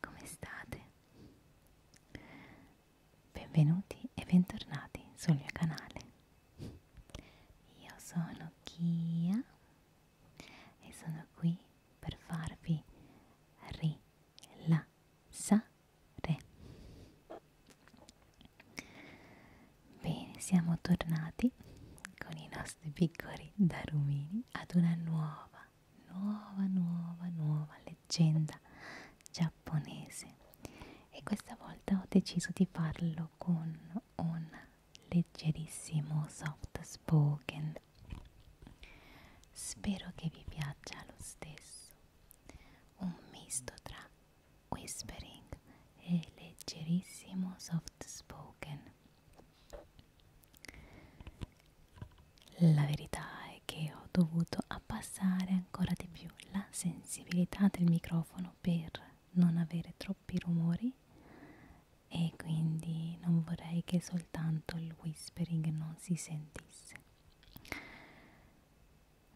come state? Benvenuti e bentornati sul mio canale. Io sono Kia e sono qui per farvi rilassare. Bene, siamo tornati con i nostri piccoli darumini ad una nuova nuova, nuova, nuova leggenda giapponese e questa volta ho deciso di farlo con un leggerissimo soft spoken. Spero che vi piaccia lo stesso, un misto tra whispering e leggerissimo soft spoken. La verità è che ho dovuto abbassare ancora di più la sensibilità del microfono per non avere troppi rumori e quindi non vorrei che soltanto il whispering non si sentisse.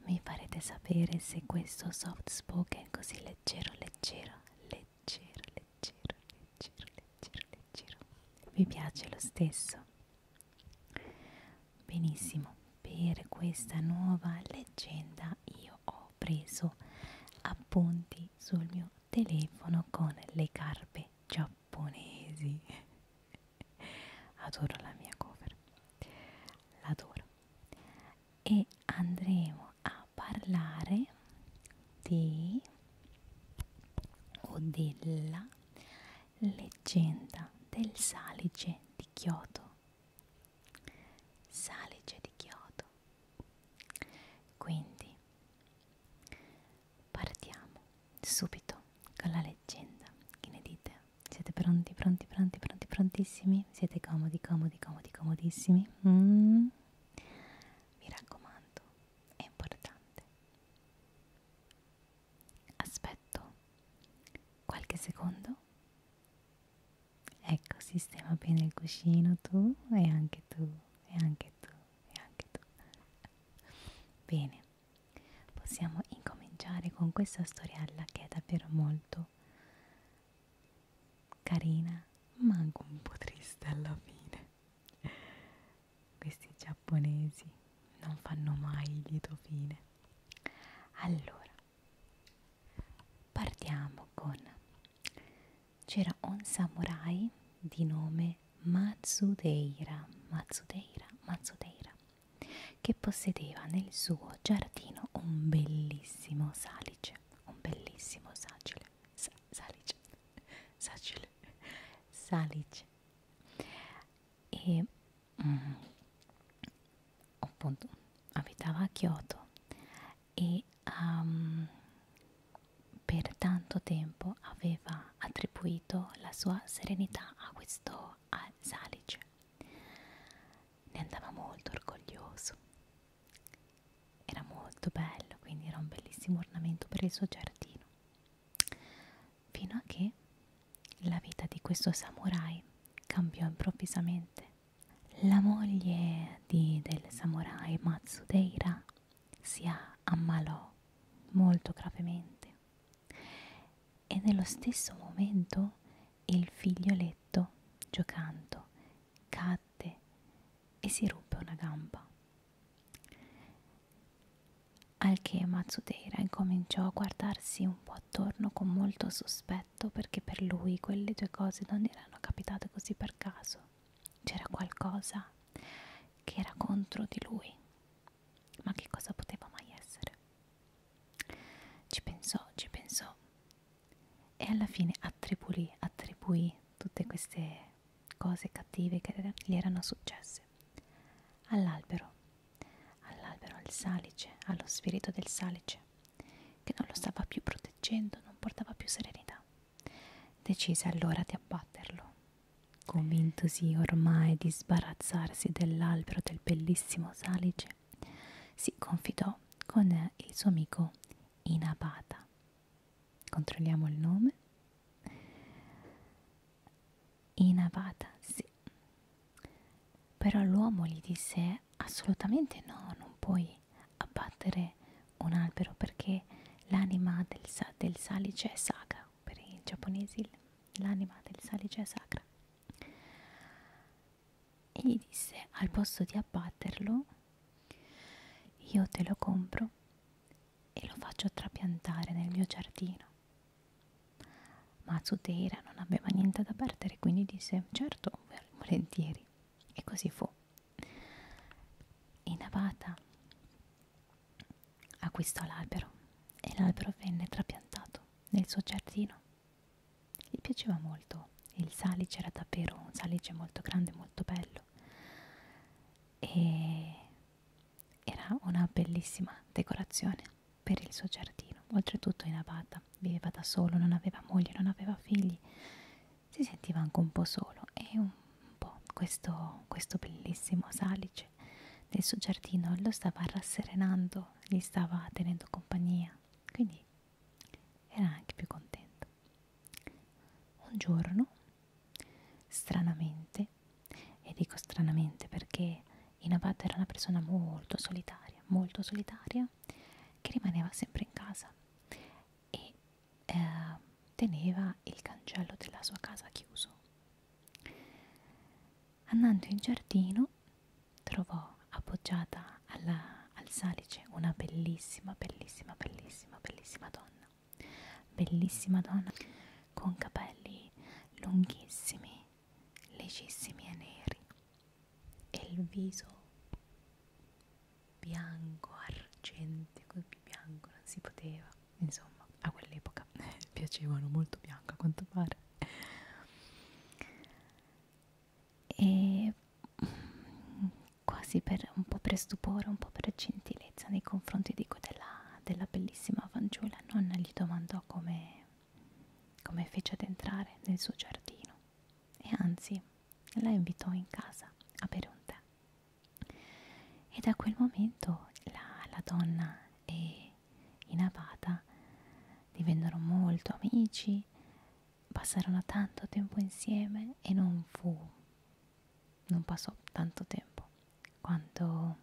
Mi farete sapere se questo soft spoken così leggero, leggero, leggero leggero, leggero, leggero, leggero, leggero. Vi piace lo stesso? Benissimo, per questa nuova leggenda io ho preso appunti sul mio telefono con le carpe giapponesi. Adoro la mia cover, l'adoro. E andremo a a parlare di o della leggenda del salice di Kyoto. Salice di Kyoto. Quindi partiamo subito con la leggenda. Che ne dite? Siete pronti, pronti, pronti, pronti, prontissimi? Siete comodi, comodi, comodi, comodissimi? Mm. Mi raccomando, è importante. Aspetto qualche secondo. Ecco, sistema bene il cuscino tu e anche tu e anche tu e anche tu. Bene, possiamo incominciare con questa storiella che è davvero molto carina, ma anche un po' triste alla fine. Questi giapponesi non fanno mai lieto fine. Allora, partiamo con... C'era un samurai di nome Matsudeira, Matsudeira, Matsudeira, che possedeva nel suo giardino un bellissimo salice, un bellissimo sagile. Sa Salic, Sacile, Salic e mm, appunto abitava a Kyoto e um, per tanto tempo aveva attribuito la sua serenità a questo a Salic. Ne andava molto orgoglioso era molto bello quindi era un bellissimo ornamento per il suo giardino fino a che la vita di questo samurai cambiò improvvisamente la moglie di, del samurai Matsudeira si ammalò molto gravemente e nello stesso momento il figlioletto giocando cadde e si ruppe una gamba. Al che Matsuteira incominciò a guardarsi un po' attorno con molto sospetto perché per lui quelle due cose non erano capitate così per caso. C'era qualcosa che era contro di lui. Ma che cosa poteva mai essere? Ci pensò, ci pensò e alla fine attribuì, attribuì tutte queste cose cattive che gli erano successe all'albero, all'albero, al salice, allo spirito del salice, che non lo stava più proteggendo, non portava più serenità. Decise allora di abbatterlo, convintosi ormai di sbarazzarsi dell'albero del bellissimo salice, si confidò con il suo amico Inapata. Controlliamo il nome. Inapata, sì. Però l'uomo gli disse assolutamente no, non puoi abbattere un albero perché l'anima del, sa del salice è sacra. Per i giapponesi l'anima del salice è sacra e gli disse al posto di abbatterlo io te lo compro e lo faccio trapiantare nel mio giardino. Ma Zuteira non aveva niente da perdere, quindi disse certo, volentieri. E così fu. In Avata acquistò l'albero e l'albero venne trapiantato nel suo giardino. Gli piaceva molto, il salice era davvero un salice molto grande, molto bello e era una bellissima decorazione per il suo giardino. Oltretutto in abata, viveva da solo, non aveva moglie, non aveva figli, si sentiva anche un po' solo e un po' questo, questo bellissimo salice del suo giardino lo stava rasserenando, gli stava tenendo compagnia. Quindi era anche più contento. Un giorno, stranamente, e dico stranamente perché Inabat era una persona molto solitaria, molto solitaria, che rimaneva sempre in casa e eh, teneva il cancello della sua casa chiuso. Andando in giardino trovò appoggiata alla, al salice una bellissima, bellissima, bellissima, bellissima donna, bellissima donna con capelli lunghissimi, legissimi e neri e il viso bianco, argente, più bianco non si poteva, insomma a quell'epoca piacevano molto bianco a quanto pare e mm, quasi per, un po' per stupore, un po' per gentilezza nei confronti dico, della, della bellissima fanciulla, nonna gli domandò come, come fece ad entrare nel suo giardino e anzi la invitò in casa a bere un tè. E da quel momento la, la donna e i Navata divennero molto amici passarono tanto tempo insieme e non fu, non passò tanto tempo quando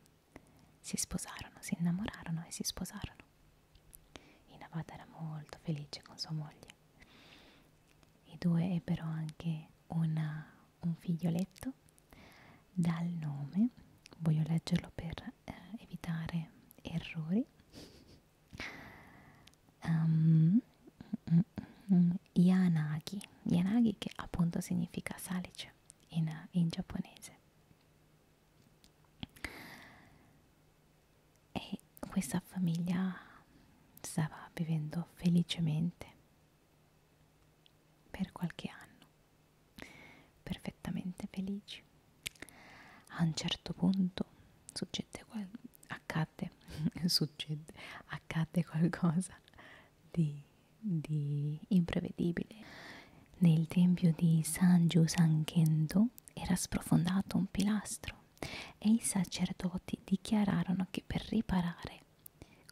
si sposarono, si innamorarono e si sposarono. Inavata era molto felice con sua moglie. I due ebbero anche una, un figlioletto dal nome, voglio leggerlo per eh, evitare errori, um, yanagi yanagi che appunto significa salice in, in giapponese e questa famiglia stava vivendo felicemente per qualche anno perfettamente felici a un certo punto succede qual accadde, succede, accadde qualcosa di, di imprevedibile. Nel tempio di San Giusankendo era sprofondato un pilastro e i sacerdoti dichiararono che per riparare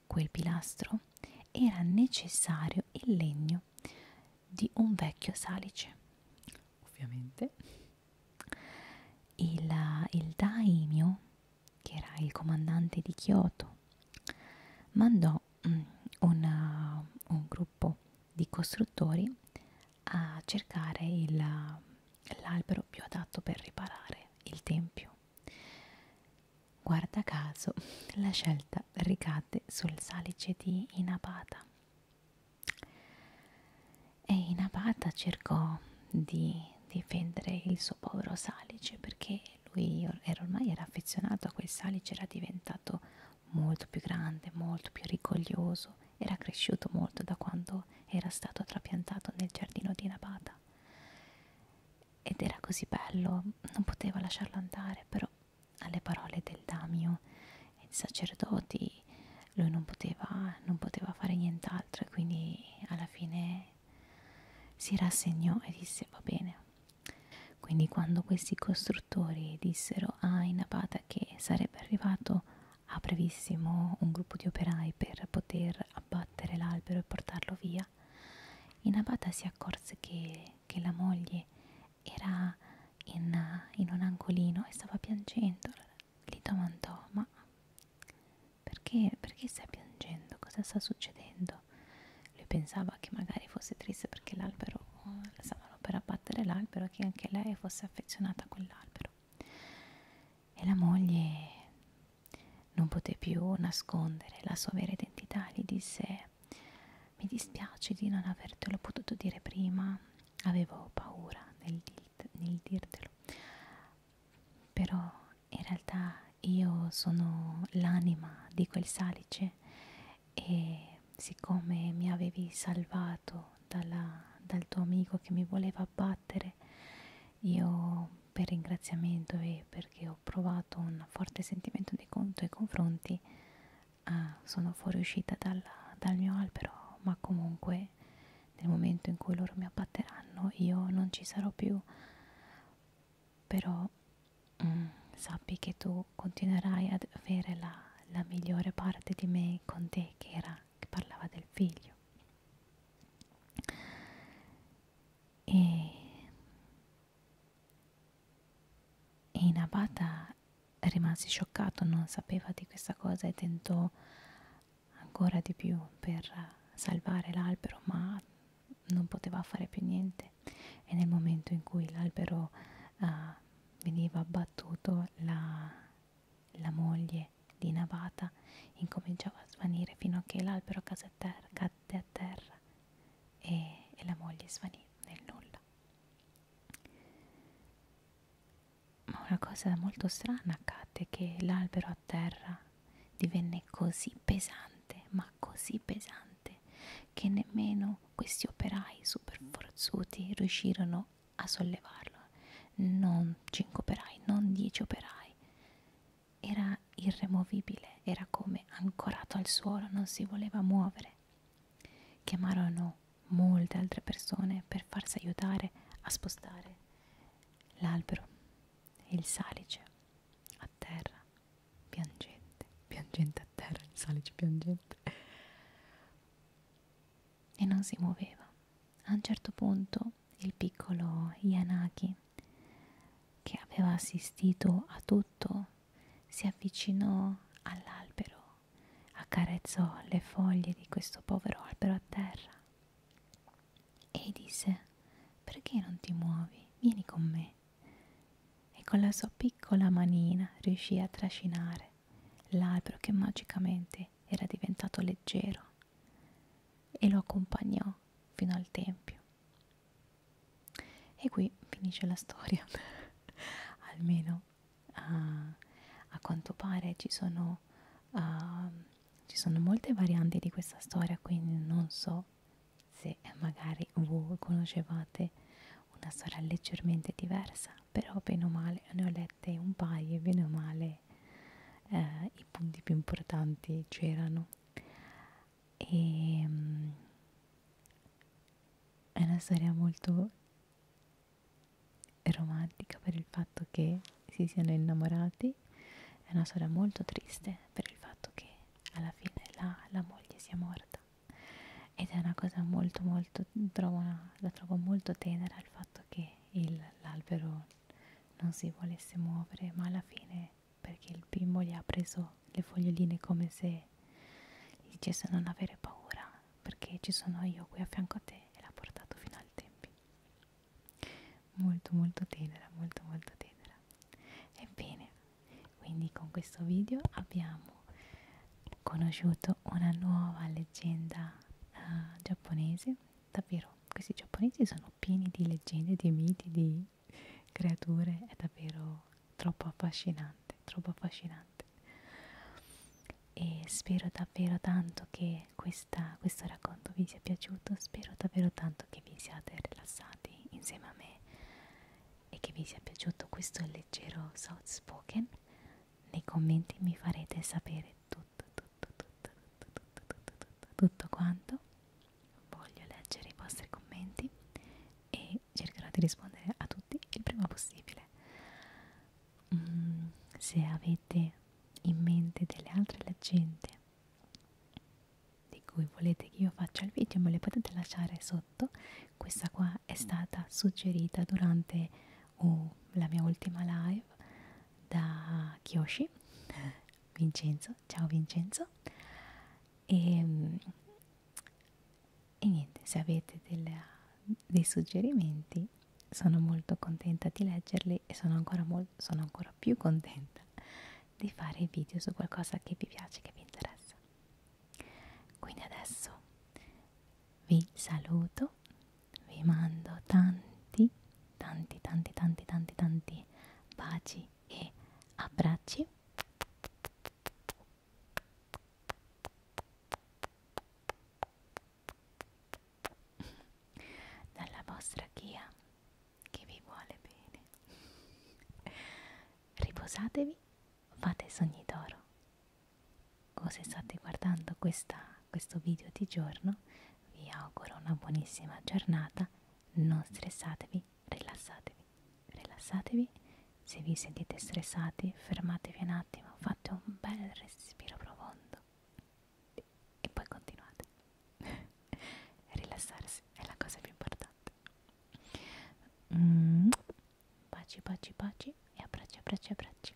quel pilastro era necessario il legno di un vecchio salice. Ovviamente il, il daimyo, che era il comandante di Kyoto, mandò mm, una, uh, un gruppo di costruttori a cercare uh, l'albero più adatto per riparare il tempio. Guarda caso, la scelta ricadde sul salice di Inabata, e Inabata cercò di difendere il suo povero salice perché lui era ormai era affezionato a quel salice, era diventato molto più grande, molto più rigoglioso, era cresciuto molto da quando era stato trapiantato nel giardino di Inabata ed era così bello, non poteva lasciarlo andare, però alle parole del Damio e dei sacerdoti lui non poteva, non poteva fare nient'altro e quindi alla fine si rassegnò e disse va bene. Quindi quando questi costruttori dissero a ah, Inabata che sarebbe arrivato a brevissimo un gruppo di operai per poter abbattere l'albero e portarlo via, Inabata si accorse che, che la moglie era in, in un angolino e stava piangendo. Allora, gli domandò, ma perché, perché stai piangendo? Cosa sta succedendo? Lui pensava che magari fosse triste perché l'albero, la stavano per abbattere l'albero e che anche lei fosse affezionata a quell'albero. E la moglie non poté più nascondere la sua vera identità, gli disse mi dispiace di non avertelo potuto dire prima, avevo paura nel, nel dirtelo, però in realtà io sono l'anima di quel salice e siccome mi avevi salvato dalla, dal tuo amico che mi voleva abbattere, io per ringraziamento e perché ho provato un forte sentimento di conto nei confronti ah, sono fuoriuscita dal, dal mio albero, ma comunque nel momento in cui loro mi abbatteranno io non ci sarò più, però mm, sappi che tu continuerai ad avere la, la migliore parte di me con te che, era, che parlava del figlio. E e Inabata rimase scioccato, non sapeva di questa cosa e tentò ancora di più per salvare l'albero, ma non poteva fare più niente. E nel momento in cui l'albero uh, veniva abbattuto, la, la moglie di Inabata incominciava a svanire fino a che l'albero cadde a terra e, e la moglie svanì nel nulla. Ma una cosa molto strana accadde che l'albero a terra divenne così pesante, ma così pesante, che nemmeno questi operai super forzuti riuscirono a sollevarlo. Non 5 operai, non 10 operai. Era irremovibile era come ancorato al suolo, non si voleva muovere. Chiamarono molte altre persone per farsi aiutare a spostare l'albero e il salice a terra, piangente, piangente a terra, il salice piangente. E non si muoveva. A un certo punto il piccolo Yanaki, che aveva assistito a tutto, si avvicinò all'albero, accarezzò le foglie di questo povero albero a terra e disse perché non ti muovi? Vieni con me. E con la sua piccola manina riuscì a trascinare l'albero che magicamente era diventato leggero e lo accompagnò fino al tempio. E qui finisce la storia, almeno uh, a quanto pare ci sono, uh, ci sono molte varianti di questa storia, quindi non so se magari voi conoscevate una storia leggermente diversa, però bene o male ne ho lette un paio e bene o male eh, i punti più importanti c'erano e um, è una storia molto romantica per il fatto che si siano innamorati, è una storia molto triste per il fatto che alla fine la, la moglie sia morta ed è una cosa molto molto, trovo una, la trovo molto tenera il fatto che l'albero non si volesse muovere ma alla fine perché il bimbo gli ha preso le foglioline come se gli dicesse non avere paura perché ci sono io qui a fianco a te e l'ha portato fino al tempi molto molto tenera molto molto tenera ebbene quindi con questo video abbiamo conosciuto una nuova leggenda uh, giapponese davvero questi giapponesi sono pieni di leggende di miti di creature è davvero troppo affascinante, troppo affascinante. E spero davvero tanto che questa, questo racconto vi sia piaciuto, spero davvero tanto che vi siate rilassati insieme a me e che vi sia piaciuto questo leggero soft spoken. Nei commenti mi farete sapere tutto, tutto, tutto, tutto, tutto, tutto, tutto, tutto, tutto quanto voglio leggere i vostri commenti e cercherò di rispondere a tutti il prima possibile. Mm, se avete in mente delle altre leggende di cui volete che io faccia il video, me le potete lasciare sotto. Questa qua è stata suggerita durante oh, la mia ultima live da Kyoshi Vincenzo Vincenzo, ciao Vincenzo e, ehm, e niente, se avete delle, dei suggerimenti sono molto contenta di leggerli e sono ancora, sono ancora più contenta di fare video su qualcosa che vi piace, che vi interessa quindi adesso vi saluto vi mando tanti tanti tanti tanti tanti tanti baci e abbracci dalla vostra Chia che vi vuole bene riposatevi fate sogni d'oro o se state guardando questa, questo video di giorno vi auguro una buonissima giornata non stressatevi, rilassatevi, rilassatevi. Se vi sentite stressati, fermatevi un attimo, fate un bel respiro profondo e poi continuate. Rilassarsi è la cosa più importante. Mm. Baci, baci, baci e abbracci, abbracci, abbracci.